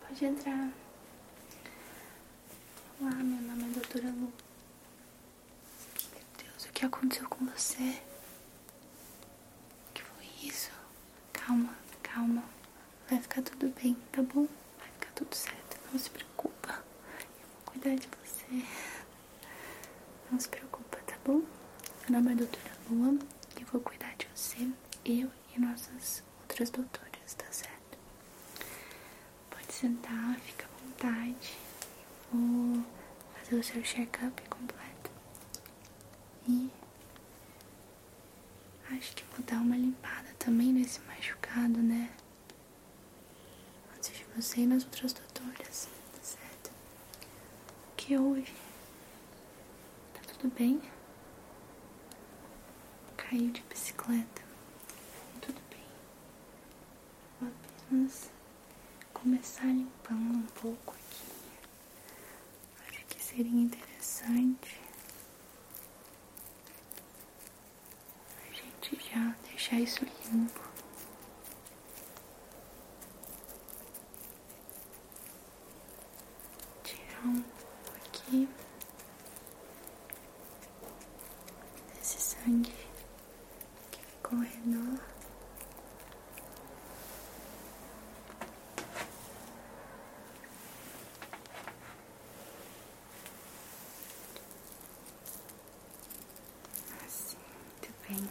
Pode entrar. Olá, meu nome é Doutora Lu. Meu Deus, o que aconteceu com você? O que foi isso? Calma, calma. Vai ficar tudo bem, tá bom? Vai ficar tudo certo, não se preocupa. Eu vou cuidar de você. Não se preocupa, tá bom? Meu nome é doutora Lua e vou cuidar de você, eu e nossas outras doutoras, tá certo? Pode sentar, fica à vontade. Vou fazer o seu check-up completo. E acho que vou dar uma limpada também nesse machucado, né? Antes de você e nas outras doutoras, tá certo? O que houve? Tá tudo bem? Caiu de bicicleta. Tudo bem. Vou apenas começar limpando um pouco aqui. Acho que seria interessante a gente já deixar isso limpo. Tirar um pouco aqui desse sangue que ficou ao Assim, muito bem.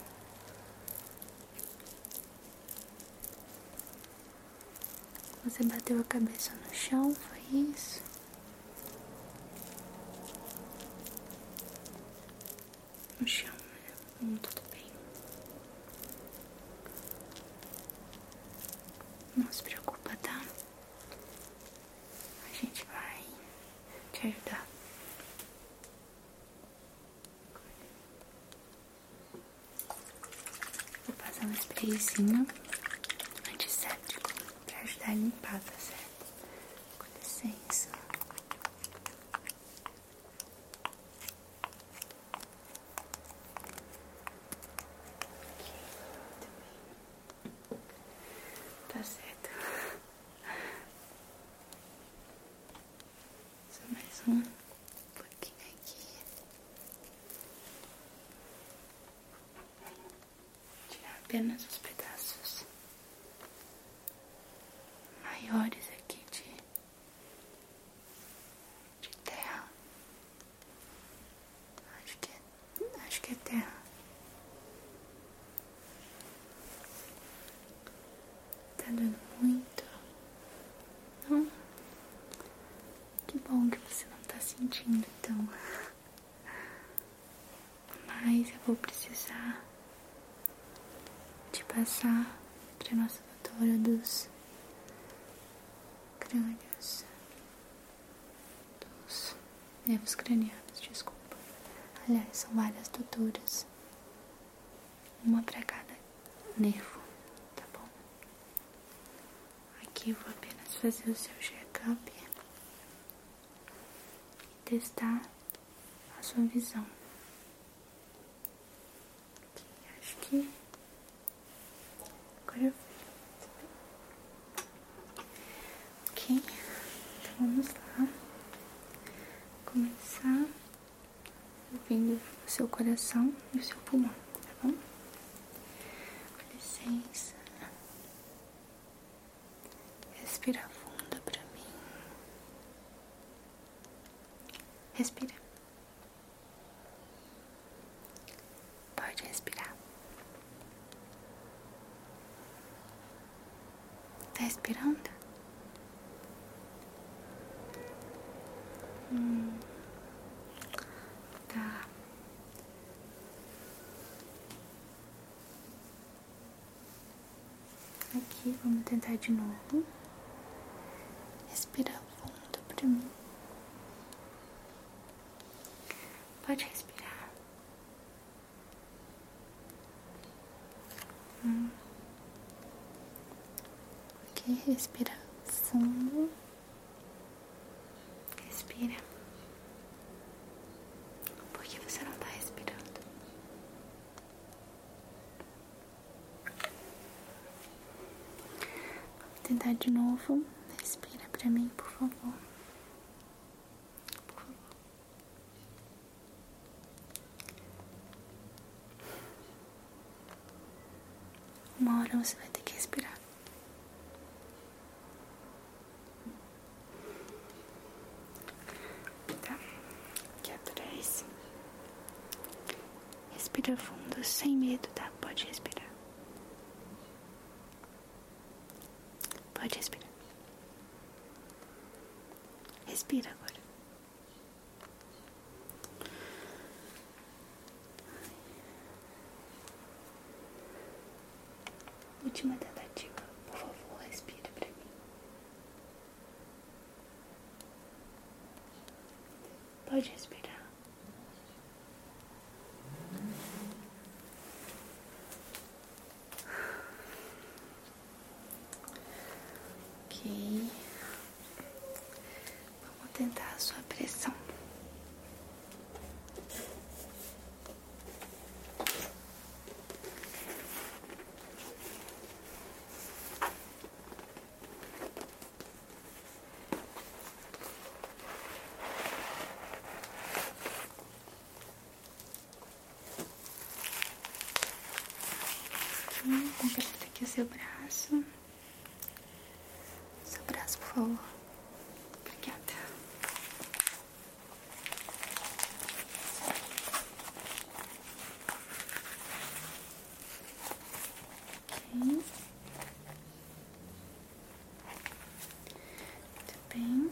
Você bateu a cabeça no chão, foi isso? No chão, né? Hum, tudo bem. Não se preocupa, tá? A gente vai te ajudar. Vou passar um sprayzinho antisséptico para ajudar a limpar, tá certo? Com licença. Tá certo. Só mais um pouquinho aqui. Tirar apenas os pedaços maiores aqui de, de terra. Acho que, é, acho que é terra. Tá doendo muito? Não? Que bom que você não tá sentindo então. Mas eu vou precisar de passar pra nossa doutora dos crânios. Dos nervos cranianos, desculpa. Aliás, são várias doutoras uma para cada nervo, tá bom? Aqui eu vou apenas fazer o seu check-up e testar a sua visão. acho que agora eu Ok, então vamos lá começar ouvindo o seu coração e o seu pulmão, tá bom? Com licença. Respira fundo pra mim. Respira. Pode respirar. Tá respirando? Hum. Tá. Aqui, vamos tentar de novo. Respira fundo pra mim. Pode respirar. Hum. Ok, respira fundo. Respira. Por que você não está respirando? Vamos tentar de novo. Respira para mim, por favor. Por favor. Uma hora você vai ter que respirar. Tá? Aqui atrás. Respira fundo, sem medo, tá? Pode respirar. Pode respirar. Respira agora. Última tentativa, por favor, respira para mim. Pode respirar. Ok. Vamos tentar a sua pressão. Aperta aqui seu braço. Seu braço, por favor. Obrigada. Ok. Muito bem.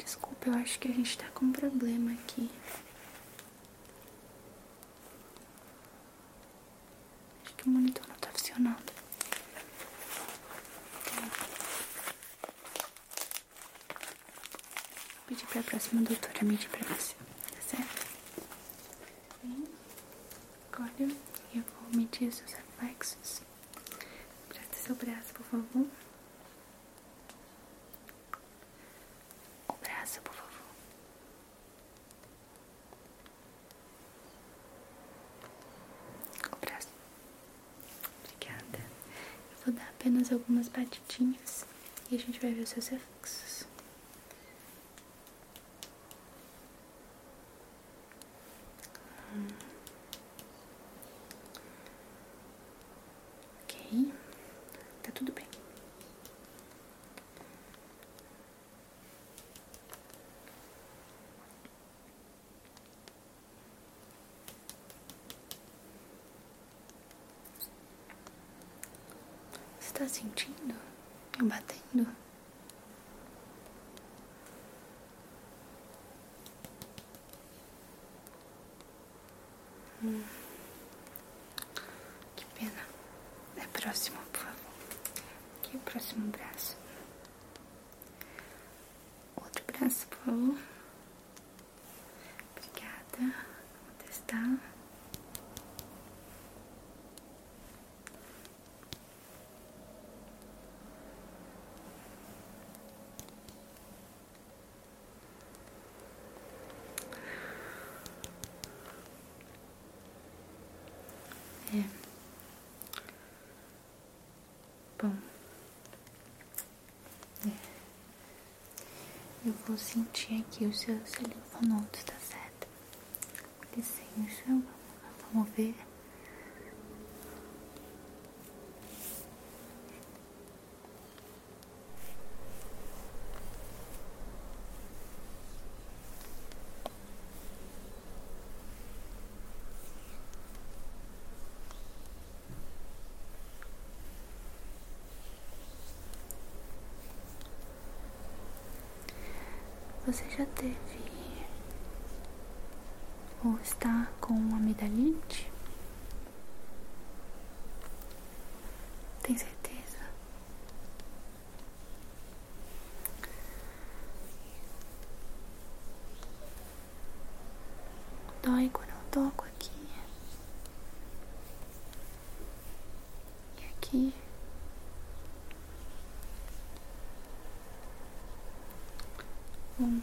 Desculpa, eu acho que a gente tá com um problema aqui. Acho que o monitor não tá funcionando. Vou pedir pra próxima doutora me medir pra você, tá certo? Bem, agora eu vou medir seus reflexos. Presta seu braço, por favor. O braço, por favor. O braço. Obrigada. Eu vou dar apenas algumas batidinhas e a gente vai ver os seus reflexos. Ok, tá tudo bem. Você está sentindo? Me batendo? Hum. Que pena. É próximo, por favor. Aqui é o próximo braço. Outro braço, por favor. Obrigada. Vou testar. É. Bom, é. Eu vou sentir aqui o seu linfonodos, tá certo? Com licença, vamos ver. Você já teve ou está com uma amidalite? Tem certeza? Dói quando eu toco aqui. E aqui. Hum.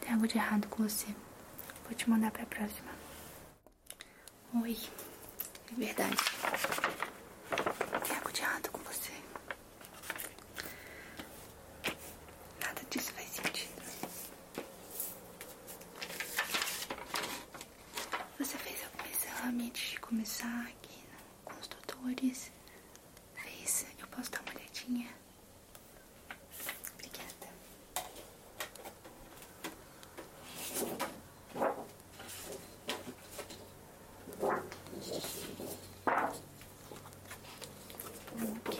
Tem algo de errado com você. Vou te mandar para a próxima. Oi. é verdade tem algo de com você. Nada disso faz sentido. Você fez algum exame antes de começar aqui com os doutores? É isso? Eu posso dar uma olhadinha? Obrigada. Ok.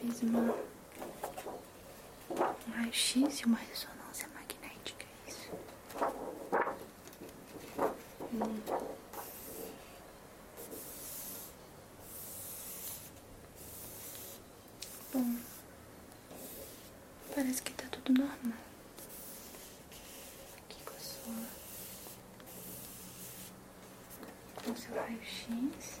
Fez uma um raio-x e uma ressonância magnética, é isso. Hum. Bom, parece que está tudo normal aqui com a sua. Com seu raio-x.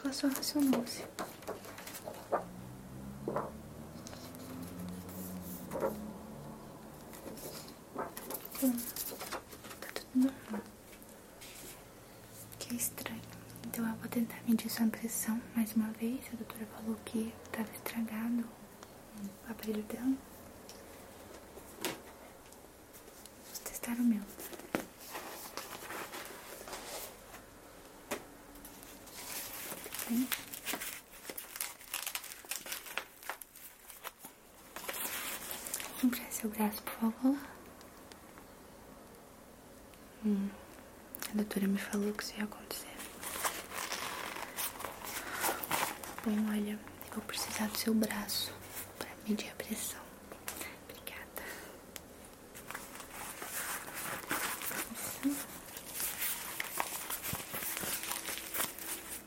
Com a sua racionose. Hum, tá tudo normal. Que estranho. Então eu vou tentar medir sua impressão mais uma vez. A doutora falou que estava estragado o aparelho dela. Vou testar o meu. Bem. Empresta seu braço, por favor. Hum, a doutora me falou que isso ia acontecer. Bom, olha, eu vou precisar do seu braço para medir a pressão. Obrigada.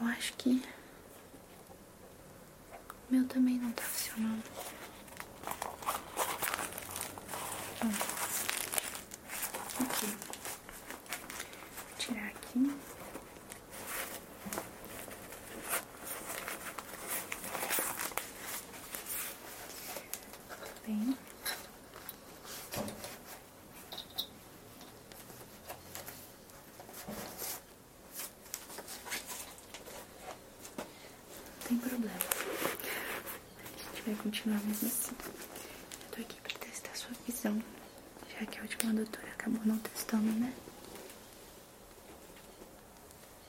Eu acho que. O meu também não tá funcionando. Bom, hum. aqui. tirar aqui. Bem. Não tem problema. A gente vai continuar mesmo assim. Eu tô aqui pra testar sua visão. Já que a última doutora acabou não testando, né?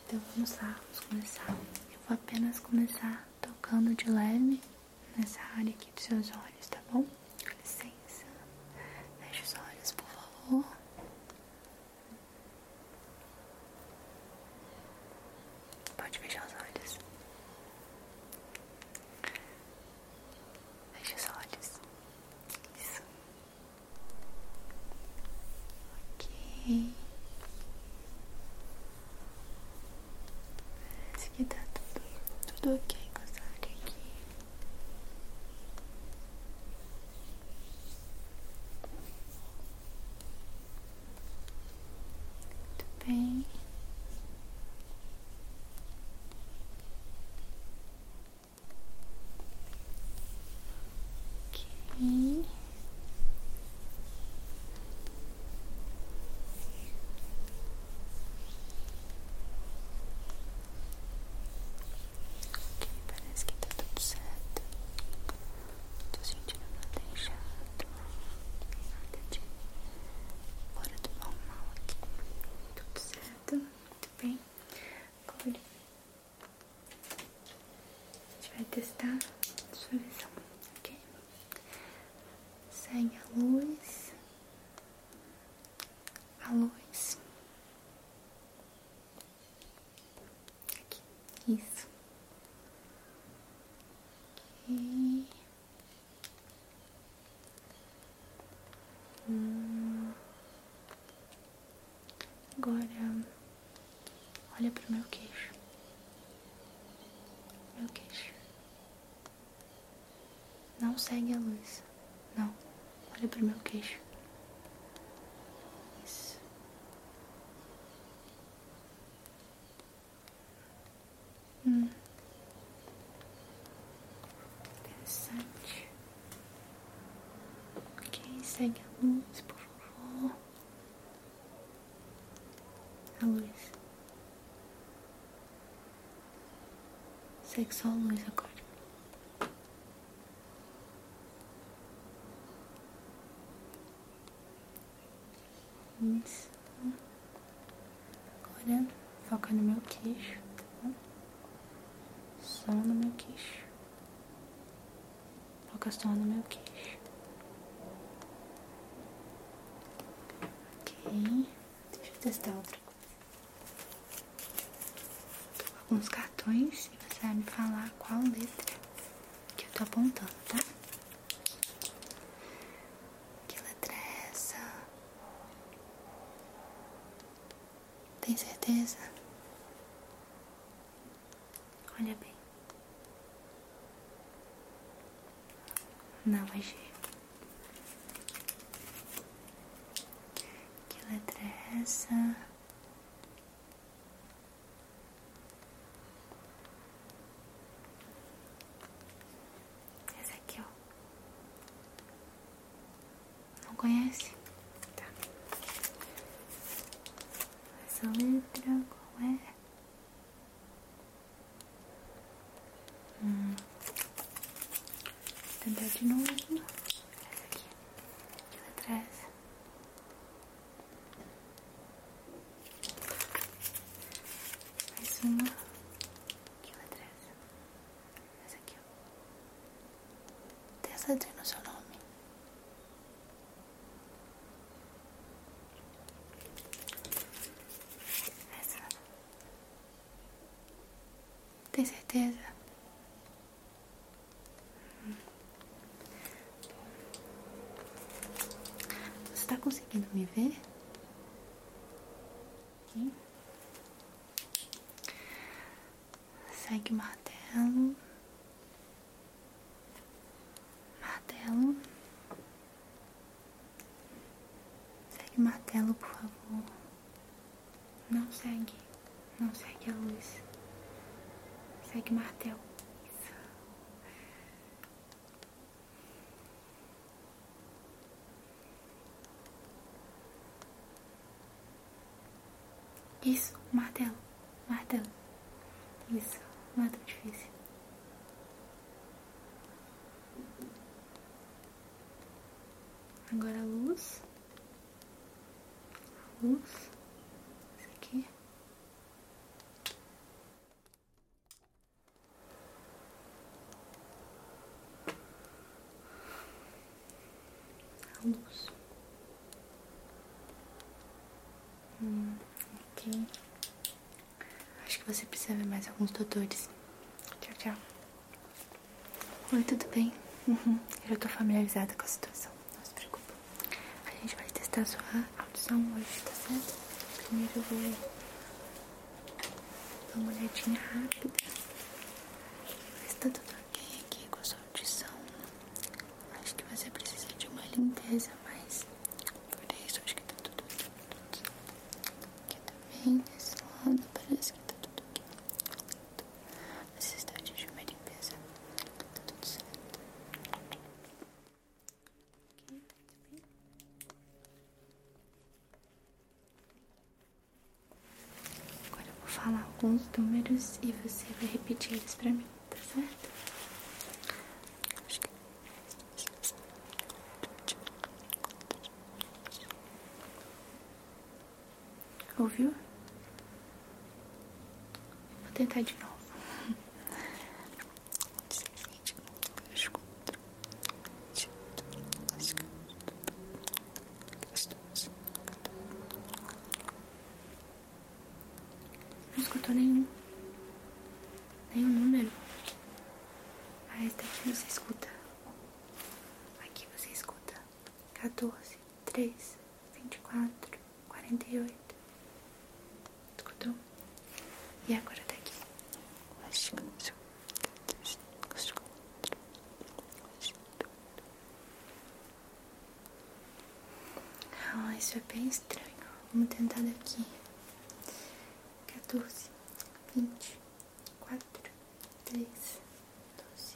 Então vamos lá, vamos começar. Eu vou apenas começar tocando de leve nessa área aqui dos seus olhos, tá bom? Com licença. Feche os olhos, por favor. Pode fechar os olhos. Feche os olhos. Isso. Ok. Acho que tá tudo, tudo ok com essa área aqui. Muito bem. Ok. Ok, parece que tá tudo certo. Tô sentindo nada inchado. Nada de fora do mal aqui. Tudo certo, muito bem. Agora a gente vai testar sua visão, ok? Segue a luz a luz. isso. e hum. Agora, olha para o meu queixo. Meu queixo. Não segue a luz. Não. Olha o meu queixo. Isso. Hum. Interessante. Ok, segue a luz, por favor. A luz. Segue só a luz agora. Isso. Agora foca no meu queixo, tá? Só no meu queixo. Foca só no meu queixo. Ok. Deixa eu testar outra alguns cartões e você vai me falar qual letra que eu tô apontando, tá? Que letra é essa? Tem certeza? Olha bem. Não, vai é que letra é essa? Essa aqui, ó. Não conhece? Tá. Essa letra, qual é? Hum. Vou tentar de novo. Essa aqui. Aqui Mais uma. Aqui atrás. Essa aqui, ó. Testa de no seu nome. Essa. Tem certeza? Você está conseguindo me ver? Segue o martelo. Martelo. Segue o martelo, por favor. Não segue. Não segue a luz. Segue o martelo. Isso. Isso, martelo, martelo. Isso, Martelo difícil. Agora a luz. luz. Isso aqui. luz. Hum, Acho que você precisa ver mais alguns tutores. Tchau, tchau. Oi, tudo bem? Uhum. Eu tô familiarizada com a situação, não se preocupe. A gente vai testar a sua audição hoje, tá certo? Primeiro eu vou dar uma olhadinha rápida. Ver tá tudo ok aqui com a sua audição. Acho que você precisa de uma limpeza, mas por isso acho que tá tudo, tudo, aqui também, desse lado, parece que tá tudo aqui Necessidade de uma limpeza, tá tudo certo. Aqui, tá aqui Agora eu vou falar alguns números e você vai repetir eles pra mim, tá certo? Acho que... É Ouviu? Vou tentar de novo. Não escutou nenhum. Nenhum número. Ah, esse daqui você escuta. Aqui você escuta 14, 3, 24, 48. Escutou? E agora daqui. Tá ah, isso é bem estranho. Vamos tentar daqui. 14, 20, 4, três, doze,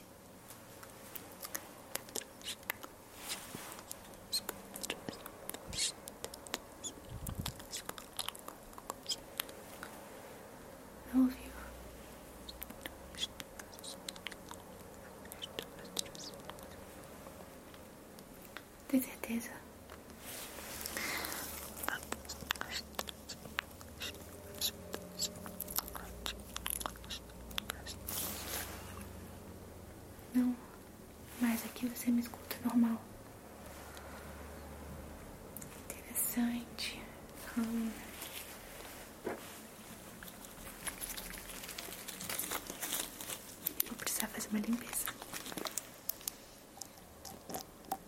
não ouviu? Tem certeza? Não, mas aqui você me escuta normal. Interessante. Hum. Vou precisar fazer uma limpeza.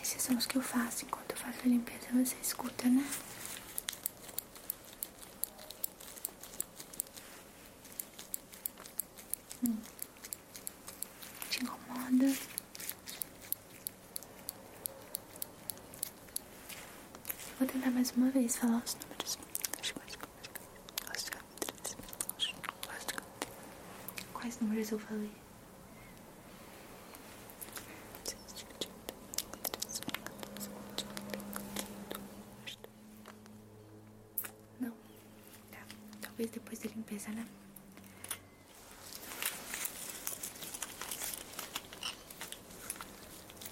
Esses são os que eu faço enquanto eu faço a limpeza, você escuta, né? Hum. Te incomoda? Vou tentar mais uma vez falar os números. Quais números eu falei? Não. Tá. Talvez depois da limpeza, né?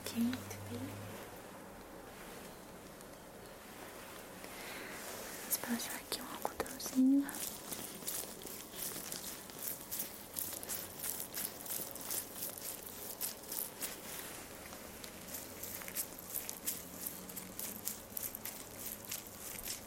Ok, muito bem. aqui um algodãozinho.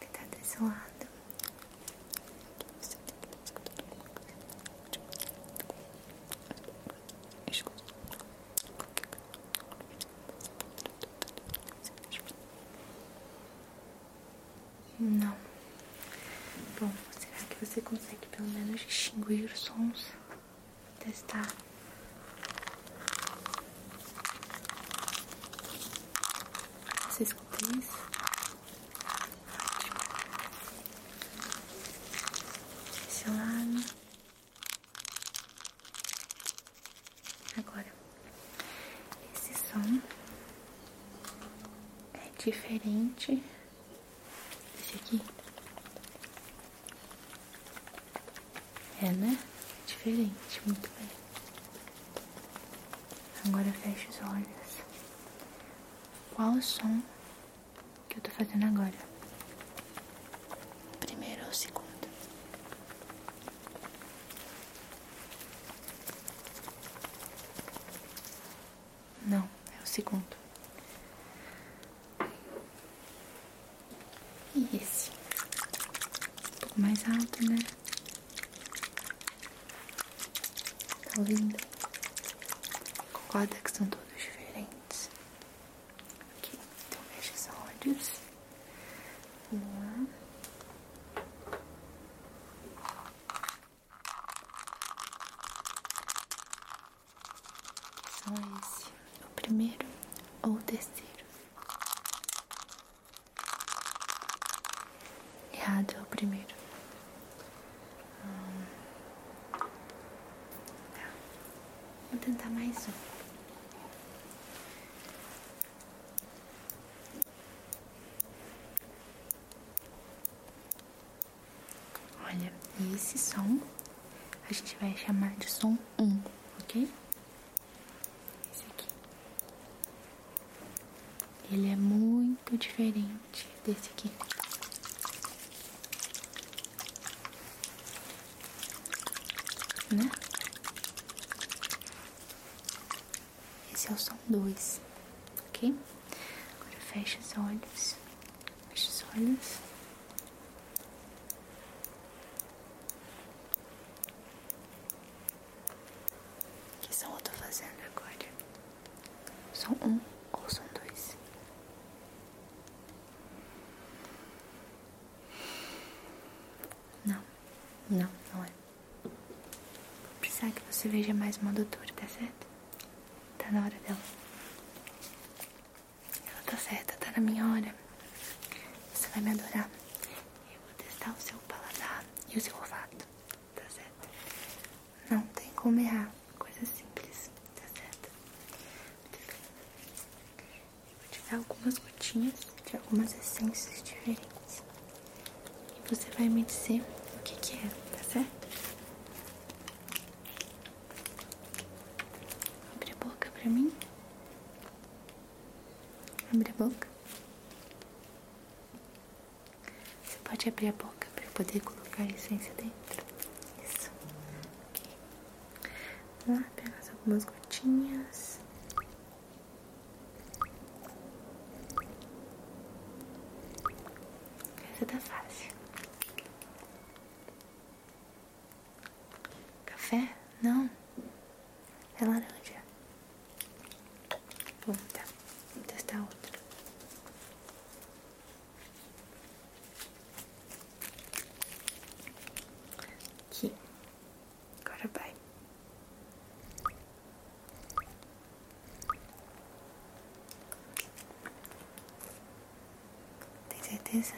que tá desse lado. Não. Bom, será que você consegue pelo menos distinguir os sons? Testar. Você escuta isso? Esse lado. Agora, esse som é diferente esse aqui. É, né? Diferente, muito bem. Agora feche os olhos. Qual o som que eu tô fazendo agora? Primeiro ou segundo? Não, é o segundo. E esse? Um pouco mais alto, né? Tá linda, Concorda que são todos diferentes? Aqui, então fecha os olhos. Um. São então, esse, é o primeiro ou o terceiro? Errado é o primeiro. Hum, vou tentar mais um. Olha, esse som a gente vai chamar de som um, ok? Esse aqui. Ele é muito diferente desse aqui. Né? Esse é o som 2, ok? Agora fecha os olhos. Fecha os olhos. Que são o que eu tô fazendo agora? São um ou são dois? Não, não, não é. Vou precisar que você veja mais uma doutora, tá certo? Tá na hora dela. Ela tá certa, tá na minha hora. Você vai me adorar. Eu vou testar o seu paladar e o seu olfato, tá certo? Não tem como errar, coisa simples, tá certo? Eu vou te dar algumas gotinhas de algumas essências diferentes. E você vai me dizer o que, que é, tá certo? Abre a boca pra mim. Abre a boca. Você pode abrir a boca para poder colocar a essência dentro. Isso. Ok. Vamos lá, pegar algumas gotinhas. Essa tá fácil. Café? Não. É laranja ponta. Vamos testar outra. Aqui. Agora vai. Tem certeza?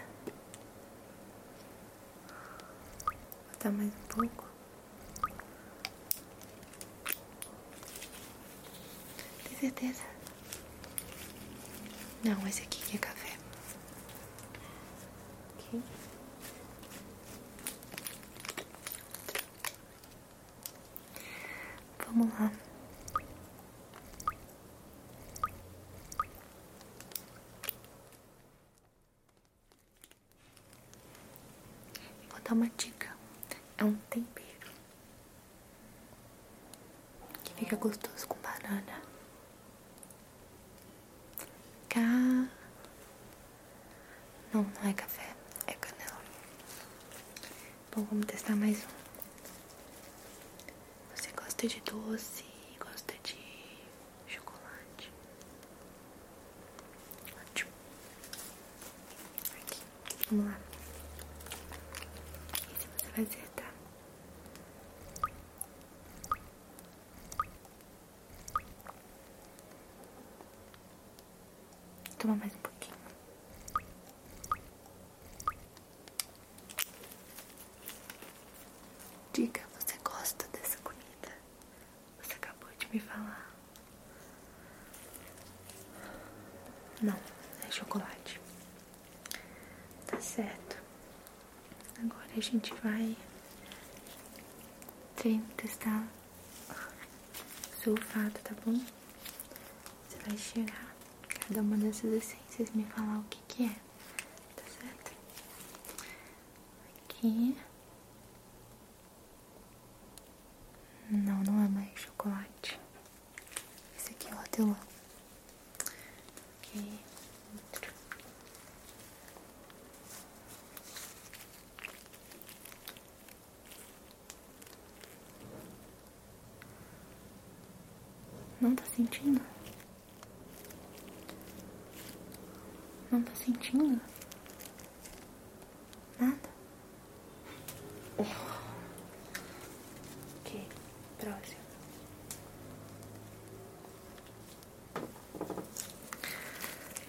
Vou botar mais um pouco. Tem certeza? Não, esse aqui é café. Ok. Vamos lá. Vou dar uma dica. É um tempero que fica gostoso com banana. Cá. Não, não é café, é canela. Bom, vamos testar mais um. Você gosta de doce, gosta de chocolate. Ótimo. Aqui, vamos lá. Esse você vai acertar. Tá? Toma mais um pouquinho. Diga, você gosta dessa comida? Você acabou de me falar. Não, é chocolate. Tá certo. Agora a gente vai tentar sulfato, tá bom? Você vai chegar cada uma dessas essências me falar o que que é, tá certo? Aqui. Não, não é mais chocolate. Esse aqui é o teu. Não tá sentindo? Não tá sentindo? Nada? que oh. próximo.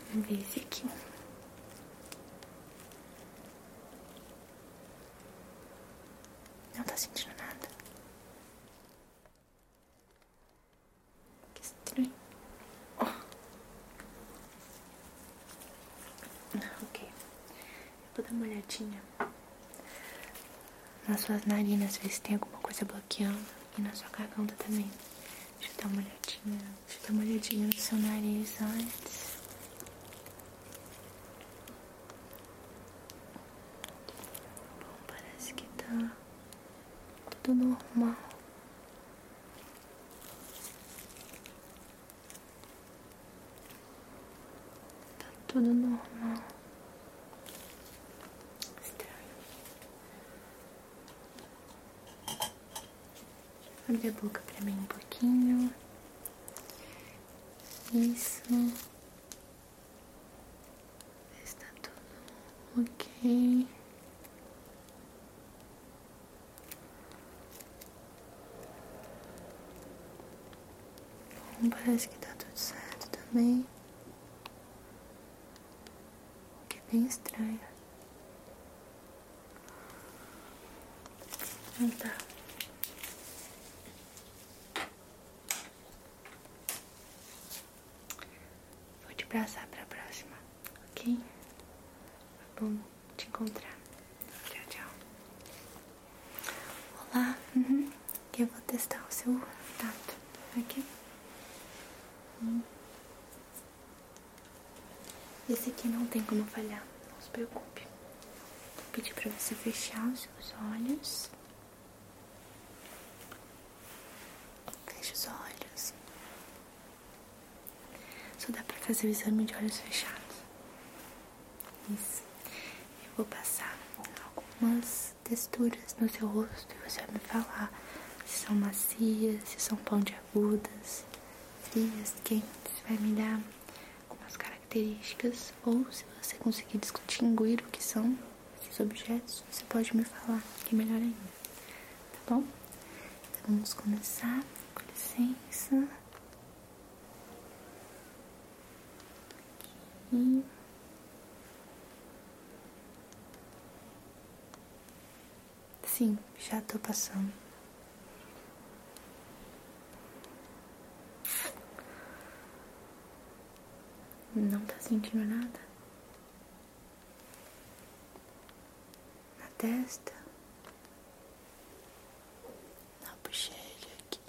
Vamos ver aqui. Não está sentindo nada. Que estranho. Oh. Ok. Eu vou dar uma olhadinha nas suas narinas, ver se tem alguma coisa bloqueando. E na sua garganta também. Deixa dar uma olhadinha. Deixa eu dar uma olhadinha no seu nariz antes. Bom, parece que tá tudo normal. Tá tudo normal. Estranho. Abre a boca pra mim um pouquinho. Isso. Está tudo ok. Parece que tá tudo certo também. O que é bem estranho. Não ah, tá. Vou te abraçar a próxima ok? Bom te encontrar. Tchau, tchau. Olá, uhum. eu vou testar o seu tato aqui. Hum. Esse aqui não tem como falhar, não se preocupe. Vou pedir para você fechar os seus olhos. Feche os olhos. Só dá pra fazer o exame de olhos fechados. Isso. Eu vou passar algumas texturas no seu rosto e você vai me falar se são macias, se são pão de pontiagudas, frias, quentes. Vai me dar algumas características ou se você conseguir distinguir o que são esses objetos, você pode me falar, que é melhor ainda tá bom? Então, vamos começar, com licença. Sim, já tô passando. Não tá sentindo nada? na testa, na bochecha aqui,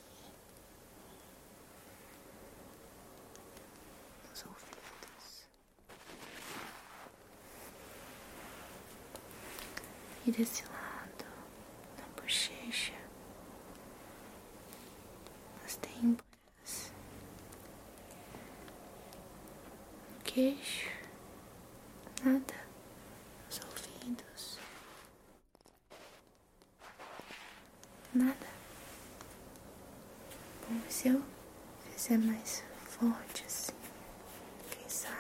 nos ouvidos e desse lado, na bochecha, nas têmporas, no queixo. Nada. Os ouvidos. Nada. Bom, se eu fizer mais forte assim, quem sabe?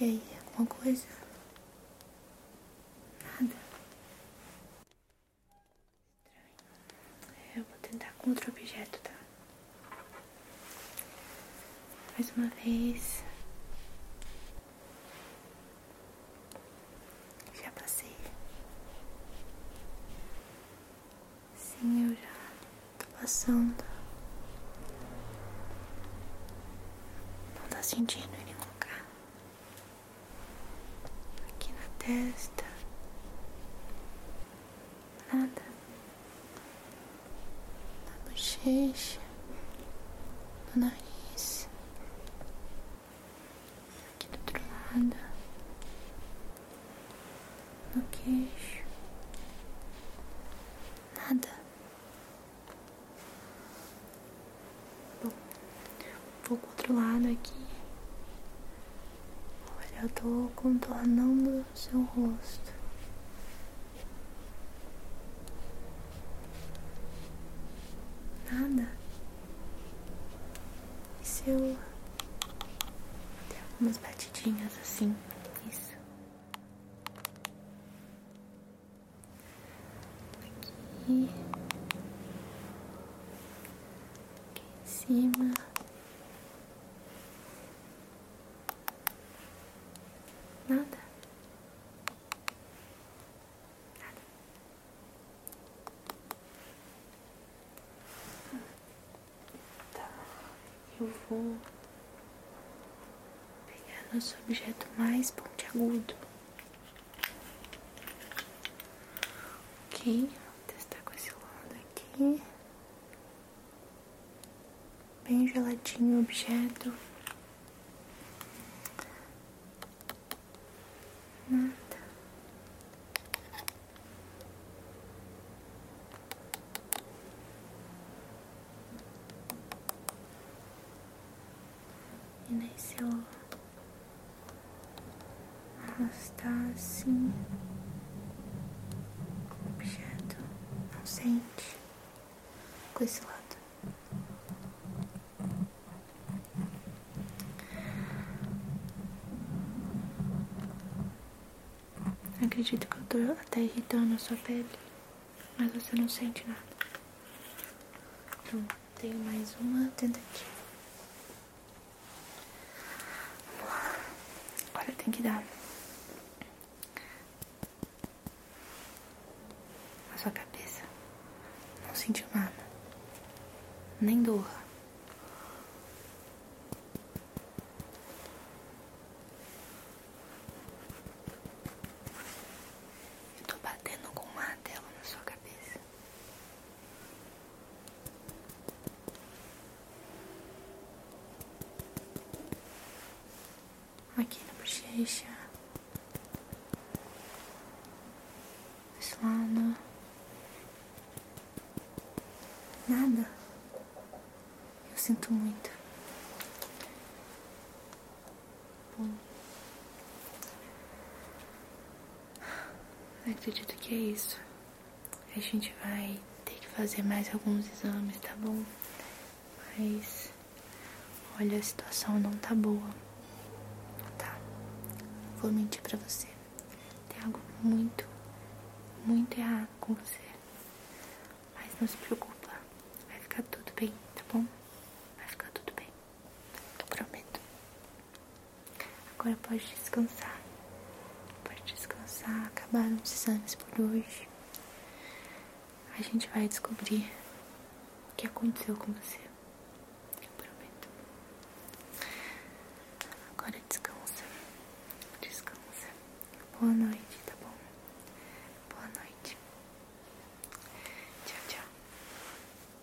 E aí, alguma coisa? Nada. Eu vou tentar com outro objeto, tá? Mais uma vez. Já passei. Sim, eu já tô passando. Não tá sentindo em nenhum lugar aqui na testa, nada na bochecha, no nariz, aqui do outro lado, no queixo, nada. Bom, vou pro outro lado aqui. Olha, eu tô contornando o seu rosto. Nada. E se eu batidinhas assim? Isso. Aqui. em cima. Nada. Nada. Tá. Eu vou pegar nosso objeto mais pontiagudo. Ok, vou testar com esse lado aqui. Bem geladinho o objeto. Nada. E nesse outro. Ela está assim. O objeto não sente com esse lado. Acredito que eu estou até irritando a sua pele, mas você não sente nada. Então, tenho mais uma tentativa. Olha, tem que dar. A sua cabeça não sentiu nada, nem dor. Eu tô batendo com uma tela na sua cabeça. Aqui na bochecha. Desse lado. Nada. Eu sinto muito acredito que é isso. A gente vai ter que fazer mais alguns exames, tá bom? Mas olha, a situação não tá boa. Tá. Vou mentir pra você. Tem algo muito, muito errado com você. Mas não se preocupa. Vai ficar tudo bem, tá bom? Vai ficar tudo bem. Eu prometo. Agora pode descansar. Pode descansar. Acabaram os exames por hoje. A gente vai descobrir o que aconteceu com você. Eu prometo. Agora descansa. Descansa. Boa noite, tá bom? Boa noite. Tchau, tchau.